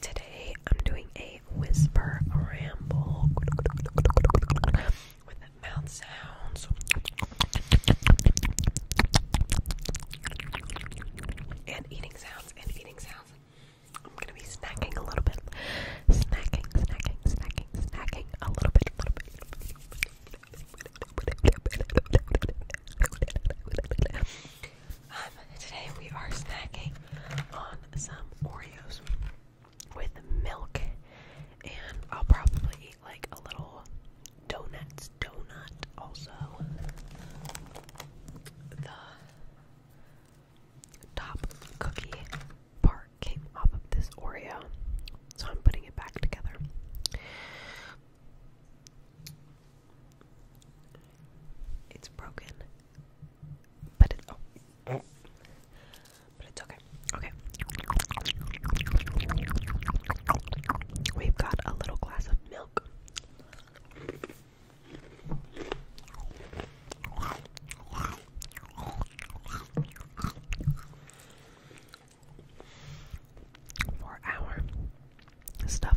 Today I'm doing a whisper ramble with mouth sounds. And eating sounds and eating sounds. I'm gonna be snacking a little bit. Snacking, snacking, snacking, snacking a little bit, today we are snacking on some Oreos with milk, and I'll probably eat like a little donuts donut also. The top cookie part came off of this Oreo, so I'm putting it back together. It's broken but it, oh. Oh. but it's okay. Okay. We've got a little glass of milk. For our stuff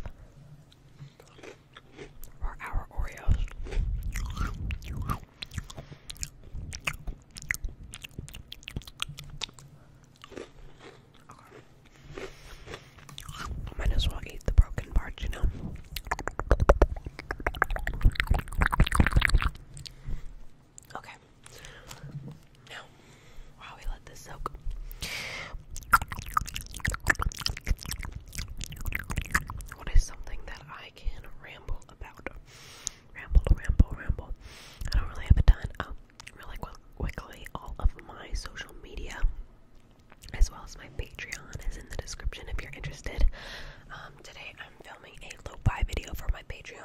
for our Oreos. Might as well eat the broken part, you know. Okay. Now, while we let this soak. What is something that I can ramble about. Ramble, ramble, ramble. I don't really have a ton. Oh, really quick, quickly, all of my social media, as well as my Patreon, is in the description if you're interested. Um, today I'm filming a low fi video for my Patreon.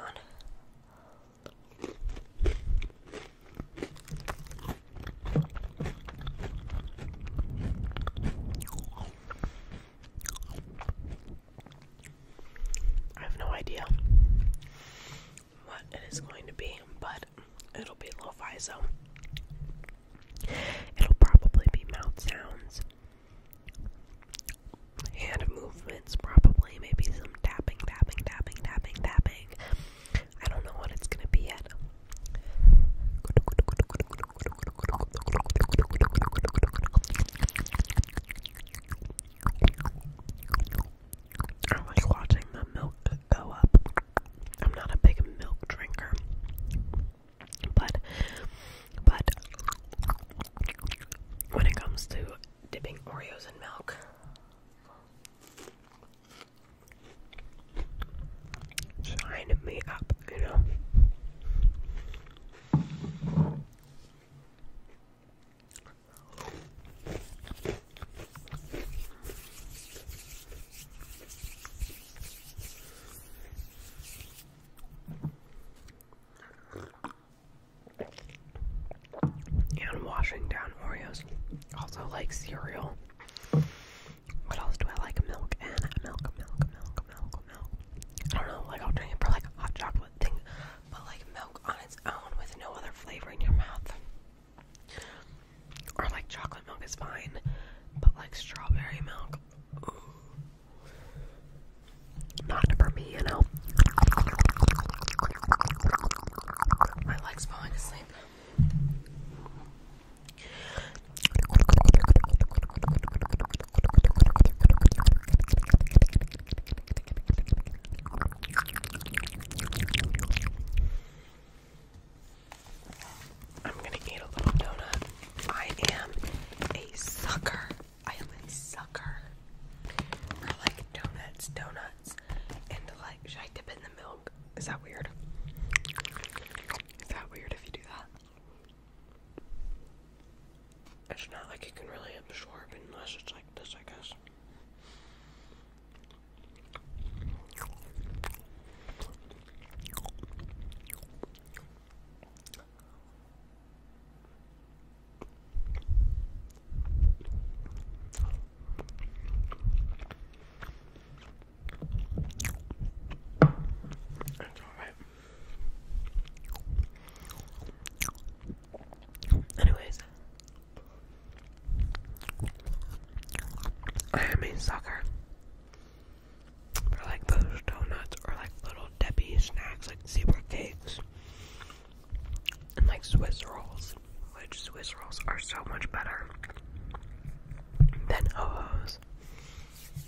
I have no idea what it is going to be, but it'll be low fi, so it'll probably be mouth sounds, and movements, probably, maybe some tapping, tapping, tapping, tapping, tapping. I don't know what it's gonna be yet. I like watching the milk go up. I'm not a big milk drinker, but but when it comes to dipping Oreos in milk, sign me up, you know. And washing down Oreos, also like cereal. What else do I like? Milk and milk, milk, milk, milk, milk. I don't know, like I'll drink it for like a hot chocolate thing, but like milk on its own with no other flavor in your mouth. Or like chocolate milk is fine, but like strawberry milk, ooh. not for me, you know. My legs falling asleep. I'm gonna eat a little donut. I am a sucker. I am a sucker. I like donuts, donuts, and like, should I dip in the milk? Is that weird? Is that weird if you do that? It's not like it can really absorb unless it's like this, I guess. It's alright. Anyways, I am a sucker for like those donuts or like little Debbie snacks, like zebra cakes, and like Swiss rolls, which Swiss rolls are so much better than ho-hos.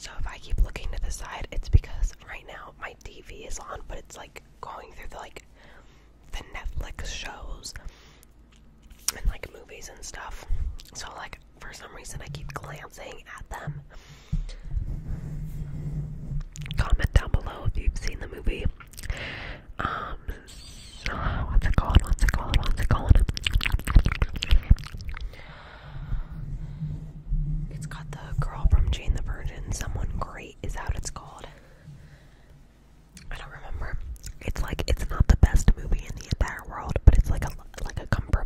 So if I keep looking to the side, it's because right now my TV is on, but it's like going through the like the Netflix shows and like movies and stuff. So like for some reason I keep glancing at them. Comment down below if you've seen the movie. Um, what's it called? What's it called? What's it called? It's got the girl from Jane the Virgin. Someone great is that it's called. I don't remember. It's like it's not the best movie in the entire world, but it's like a like a comfort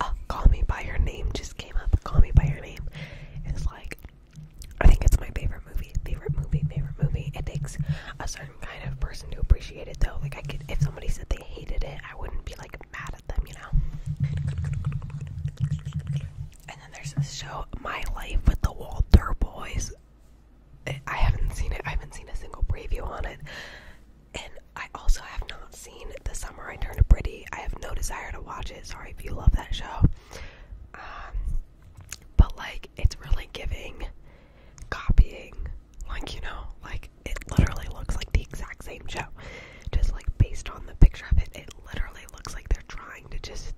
Uh, Call Me By Your Name just came up. Call Me By Your Name is like, I think it's my favorite movie. Favorite movie, favorite movie. It takes a certain kind of person to appreciate it though. Like, I could, if somebody said they hated it, I wouldn't be like mad at them, you know? And then there's this show, My Life with the Walter Boys. I haven't seen it. I haven't seen a single preview on it. And I also have not seen The Summer I Turned Pretty. I have no desire to watch it. Sorry if you love that show. Um, but like, it's really giving copying. Like, you know, like it literally looks like the exact same show. Just like based on the picture of it, it literally looks like they're trying to just,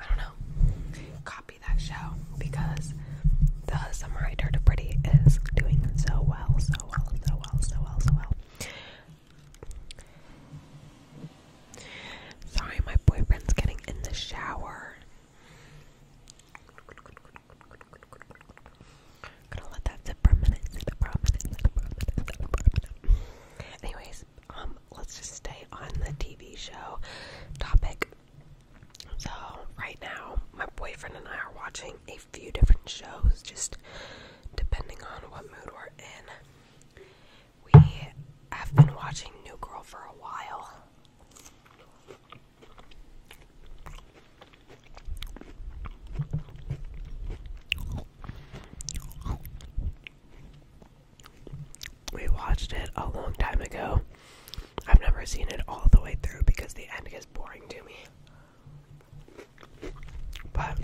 I don't know, copy that show because the Samurai Dirt Pretty is doing so well, so well, so well, so well, so well. Sorry, my boyfriend's getting in the shower. I'm gonna let that sit for a minute, sit for a minute, sit for a minute, sit for a minute. Anyways, um, let's just stay on the TV show topic. So, right now, my boyfriend and I are watching a few different shows, just depending on what mood we're in. We have been watching New Girl for a while. We watched it a long time ago. I've never seen it all the way through because the end boring to me. But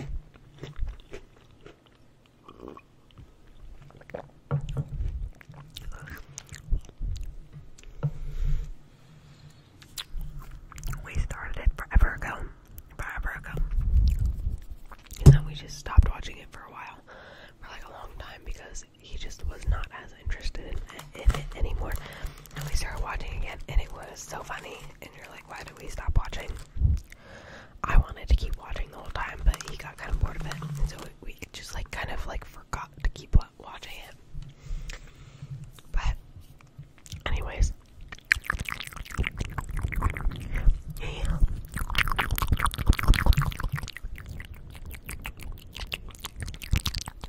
we started it forever ago. Forever ago. And then we just stopped watching it for a while. For like a long time because he just was not as interested in, it anymore. And we started watching again, and it was so funny. And you're like, why did we stop watching? I wanted to keep watching the whole time, but he got kind of bored of it, and so we just like kind of like forgot to keep watching it. But, anyways,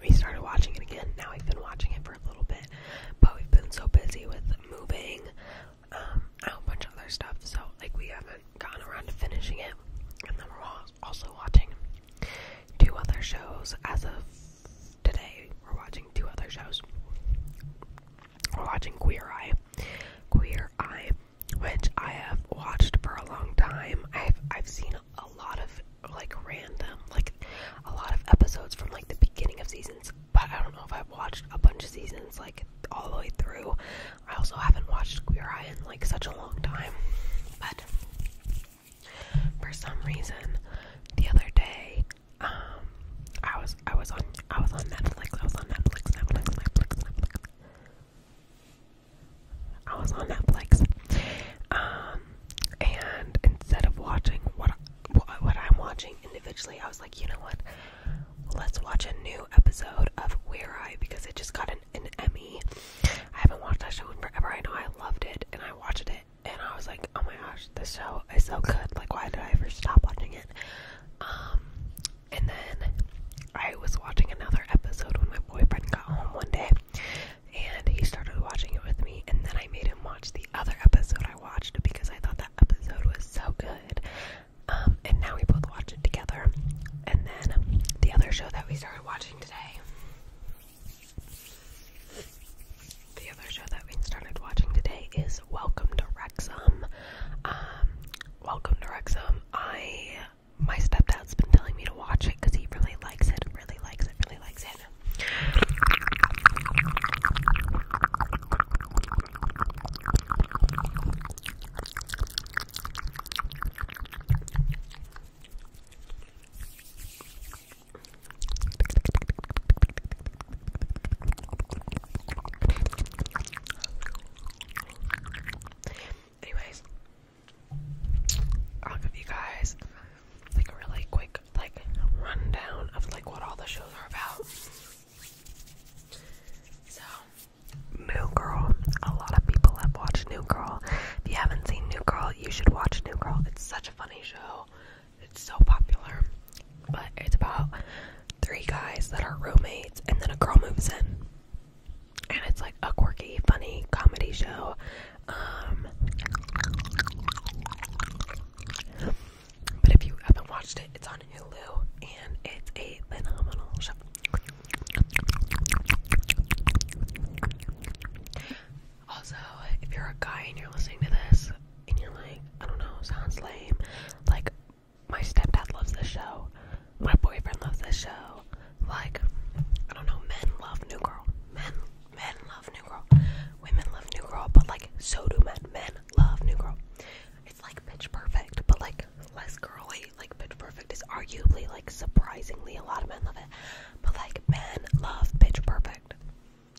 we started watching it again. Now we've been watching it for a little bit, but we've been so busy with moving, um, a bunch of other stuff, so like we haven't gotten around to finishing it. And then we're also watching two other shows. As of today, we're watching two other shows. We're watching Queer Eye, Queer Eye, which I have watched for a long time. I've I've seen a lot of like random, like a lot of episodes from like the beginning of seasons, but I don't know if I've watched a bunch of seasons like all the way through. I also haven't watched Queer Eye in like such a long time, but for some reason, the other day, um, I was I was on I was on Netflix. I was on Netflix. Netflix. Netflix. Netflix. I was on Netflix. Um, and instead of watching what what I'm watching individually, I was like, you know what? Let's watch a new episode of Where I because it just got an, Emmy. I haven't watched that show in forever. I know I loved it and I watched it and I was like, oh my gosh, this show is so good. Like, why did I ever stop watching it? Um, and then I was watching another episode when my boyfriend got home one day, and he started watching it with me, and then I made him watch the other episode I watched because I thought that episode was so good. Um, and now we both watch it together. And then the other show that we started watching today, the other show that we started watching today is Welcome to Rexham. Um, Welcome to Rexham. I my stepdad's been telling me to watch it because he really likes it, really likes it, really likes it. Anyways, I'll give you guys like a really quick like rundown of like what all the shows are about. So, New Girl. A lot of people have watched New Girl. If you haven't seen New Girl, you should watch New Girl. It's such a funny show. It's so popular. But it's about three guys that are roommates and then a girl moves in. And it's like a quirky, funny comedy show um, but if you haven't watched it, it's on Hulu and it's phenomenal Also, if you're a guy and you're listening to this and you're like, I don't know, sounds lame, like my stepdad loves this show, my boyfriend loves this show, like I don't know, men love New Girl, men Men love New Girl. Women love New Girl, but like so do men. Men love New Girl. It's like bitch perfect, but like less girly. Like bitch perfect is arguably like surprisingly a lot of men love it. But like men love bitch perfect.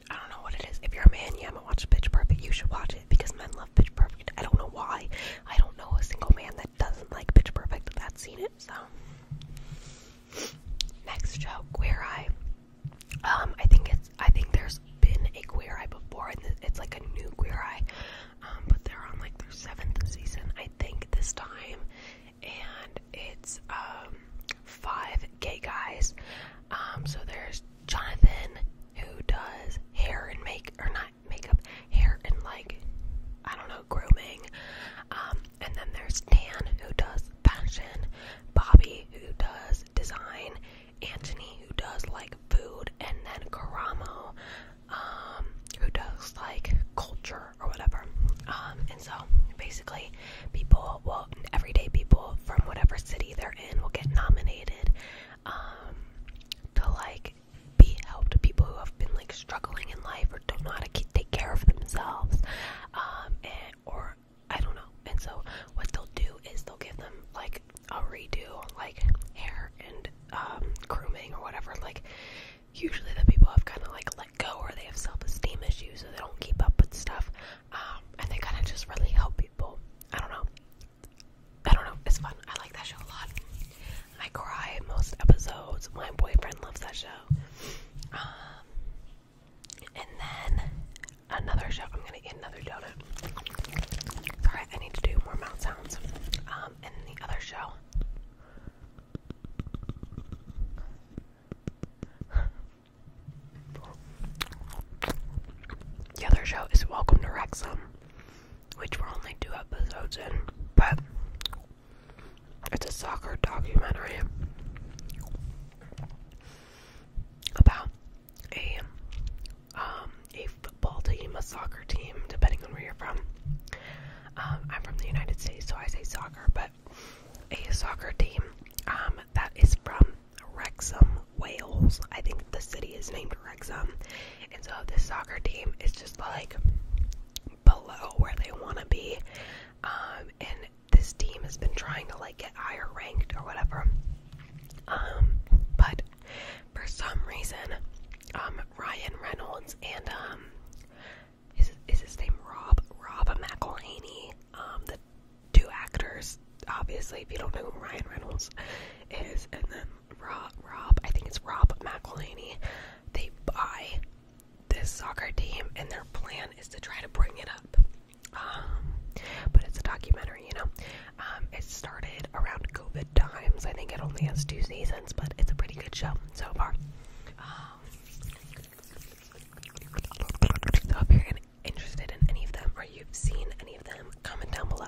I don't know what it is. If you're a man, you haven't watched bitch Perfect, you should watch it because men love bitch Perfect. I don't know why. I don't know a single man that doesn't like bitch Perfect that's seen it, so Next show, Queer Eye. Um, I think it's I think there's been a Queer Eye before, and it's like a new Queer Eye. Um, but they're on like their seventh season, I think, this time, and it's um five gay guys. Um, so there's Jonathan who does hair and make or not makeup, hair and like I don't know grooming. Um, and then there's Dan, who does fashion, Bobby, who does design, Anthony, who does like food, and then Karamo, um, who does like culture or whatever. Um, and so basically, people, well, everyday people from whatever city they're in will get nominated um, to like be helped. People who have been like struggling in life or don't know how to take care of themselves it or I don't know. And so what they'll do is they'll give them like a redo on like hair and um, grooming or whatever. Like usually the people have kind of like let go or they have self-esteem issues or they don't keep up with stuff. Um, and they kind of just really help people. I don't know. I don't know. It's fun. I like that show a lot. I cry in most episodes. My boyfriend loves that show. Um, and then another show. I'm gonna eat another donut. Sorry, I need to do more mouth sounds. Um, and the other show. The other show is Welcome to Wrexham, which we're only two episodes in, but it's a soccer documentary about a um, a football team, a soccer team, depending on where you're from. Um, I'm from the United States, so I say soccer, but a soccer team um, that is from Wrexham, Wales. I think the city is named Wrexham, and so this soccer team is just like below where they want to be, and this team has been trying to like get higher ranked or whatever. Um, but for some reason, um, Ryan Reynolds and um, is is his name Rob Rob McElhaney, um, the two actors. Obviously, if you don't know who Ryan Reynolds is, and then Rob Rob, I think it's Rob McElhaney. They buy this soccer team, and their plan is to try to bring it up. Um, but it's a documentary, you know. Um, it started around COVID times. I think it only has two seasons, but it's a pretty good show so far. Um, so if you're interested in any of them or you've seen any of them, comment down below.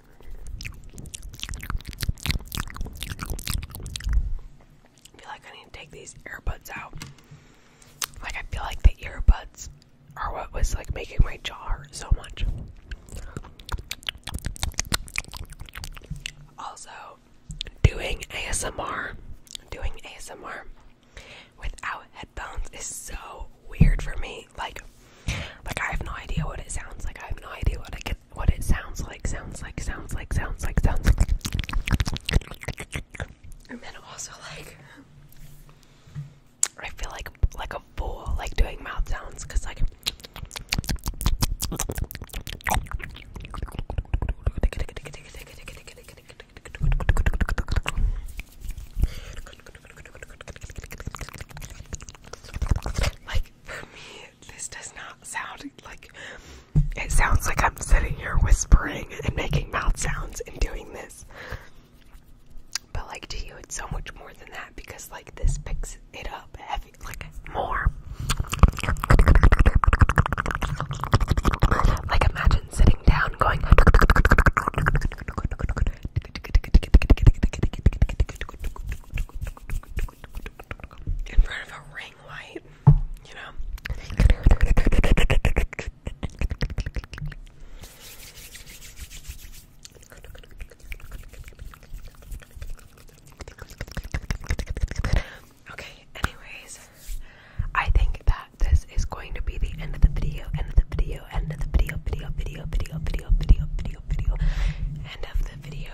I feel like I need to take these earbuds out. Like, I feel like the earbuds are what was like making my jaw hurt so much. Also, doing ASMR, doing ASMR without headphones is so weird for me. Like, like I have no idea what it sounds like. I have no idea what I get what it sounds like, sounds like, sounds like, sounds like, sounds like. And then also like, I feel like like a fool, like doing mouth sounds, cause like. Like for me, this does not sound like it sounds like I'm sitting here whispering and making mouth sounds and doing this. But like to you, it's so much more than that because like this picks it up heavy, like more. Like imagine sitting down, going in front of a ring light, you know. Okay, anyways, I think that this is going to be the end of the video, end of the video, end of the video, video, video, video, video, video, video, video, end of the video